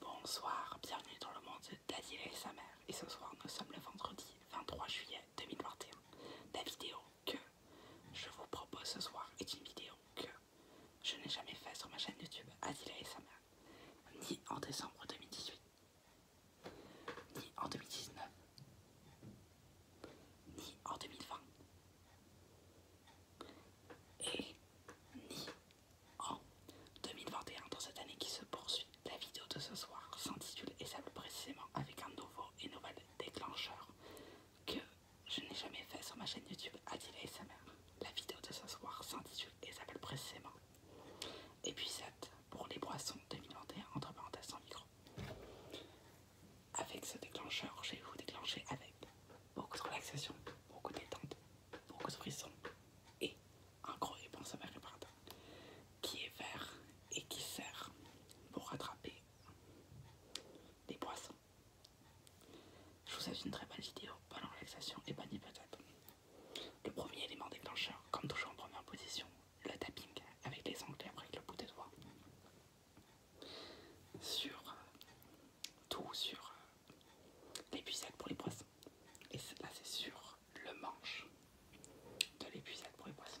Bonsoir, bienvenue dans le monde d'Azila et sa mère. Et ce soir, nous sommes le vendredi 23 juillet 2021. La vidéo que je vous propose ce soir est une vidéo que je n'ai jamais faite sur ma chaîne YouTube Azila et sa mère, ni en décembre 2018, ni en 2019, ni en 2020, et ni en 2021, dans cette année qui se poursuit, la vidéo de ce soir s'intitule et s'appelle précisément avec un nouveau et nouvel déclencheur que je n'ai jamais fait sur ma chaîne YouTube Adila et sa mère. La vidéo de ce soir s'intitule et s'appelle précisément épuisette pour les boissons 2021 entre parenthèses sans micro. Avec ce déclencheur, je vais vous déclencher avec beaucoup de relaxation, beaucoup de beaucoup de frissons et un gros réponse à ma qui est vert et qui sert pour rattraper des poissons. Je vous souhaite une très bonne vidéo, bonne relaxation et bonne hypothèse. Le premier élément déclencheur, comme toujours en première position, le tapping avec les ongles après avec le bout des doigts. Sur euh, tout, sur euh, l'épuisette pour les poissons. Et là c'est sur le manche de l'épuisette pour les poissons.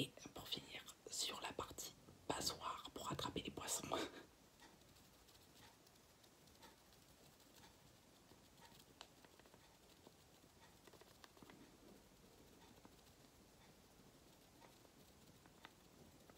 Et pour finir sur la partie passoire pour attraper les poissons.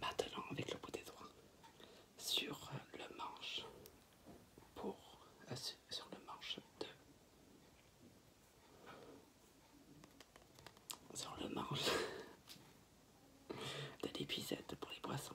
Maintenant, avec le bout des doigts, sur le manche, pour, euh, sur le manche de, sur le manche de l'épisette pour les poissons.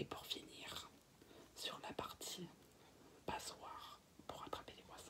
Et pour finir, sur la partie passoire, pour attraper les poissons.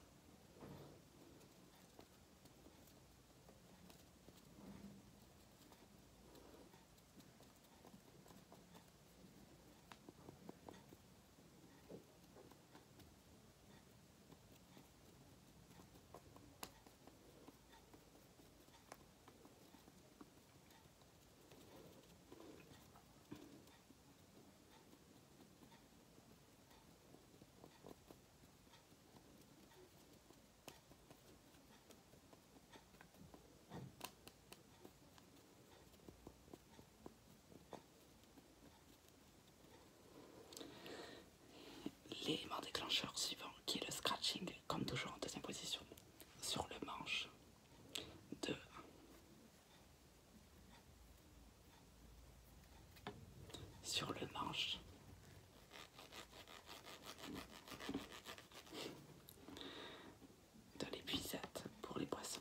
L'élément déclencheur suivant qui est le scratching, comme toujours en deuxième position, sur le manche de sur le manche. de l'épuisette pour les poissons.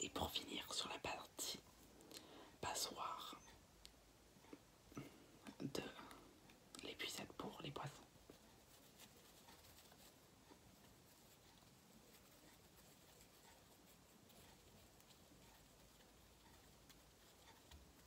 Et pour finir sur la partie passoire de l'épuisette pour les poissons.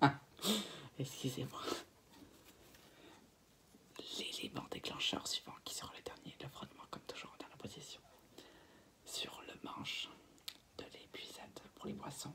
Ah, excusez-moi l'élément déclencheur suivant qui sera le dernier, le frottement comme toujours dans la position, sur le manche de l'épuisette pour les boissons.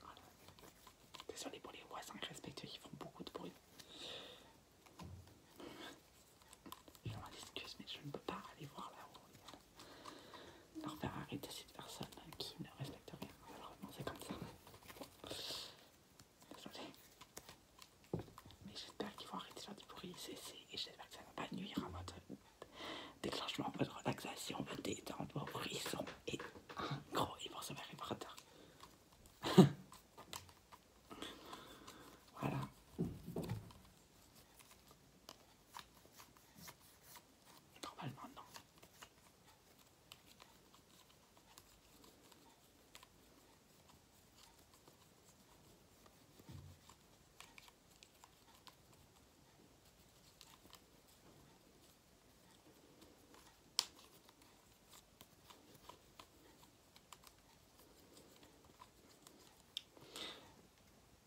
Voilà. Désolé pour les voisins respectueux ils font beaucoup de bruit. Je m'en excuse, mais je ne peux pas aller voir là-haut. Leur faire arrêter cette personne qui ne respecte rien. Alors non c'est comme ça. Mais j'espère qu'ils vont arrêter de faire du bruit, cesser, et j'espère que ça ne va pas nuire à votre déclenchement, votre relaxation, votre détente, vos frissons et. Gros, il se mettre le Potter. voilà. Normalement, non.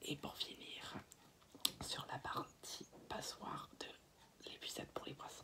Et pour finir, sur la partie passoire de l'épuisette pour les poissons.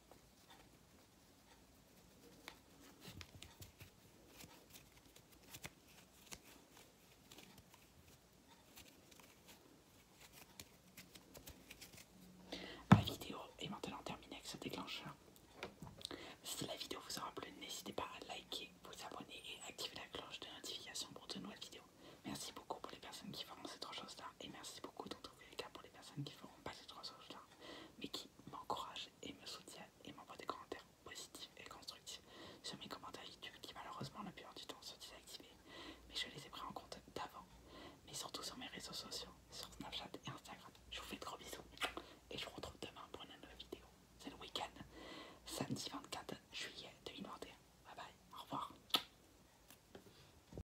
La vidéo est maintenant terminée avec ce déclencheur. Si la vidéo vous aura plu, n'hésitez pas à liker, vous abonner et activer la cloche de notification pour de nouvelles vidéos. Merci beaucoup pour les personnes qui font cette chose là et merci beaucoup d'autres cas pour les personnes qui ne feront pas ces trois choses-là, mais qui m'encouragent et me soutiennent et m'envoient des commentaires positifs et constructifs sur mes commentaires YouTube qui malheureusement la plupart du temps sont désactivés, mais je les ai pris en compte d'avant, mais surtout sur mes réseaux sociaux, sur Snapchat et Instagram. Je vous fais de gros bisous et je vous retrouve demain pour une nouvelle vidéo. C'est le week-end, samedi 24 juillet 2021. Bye bye, au revoir.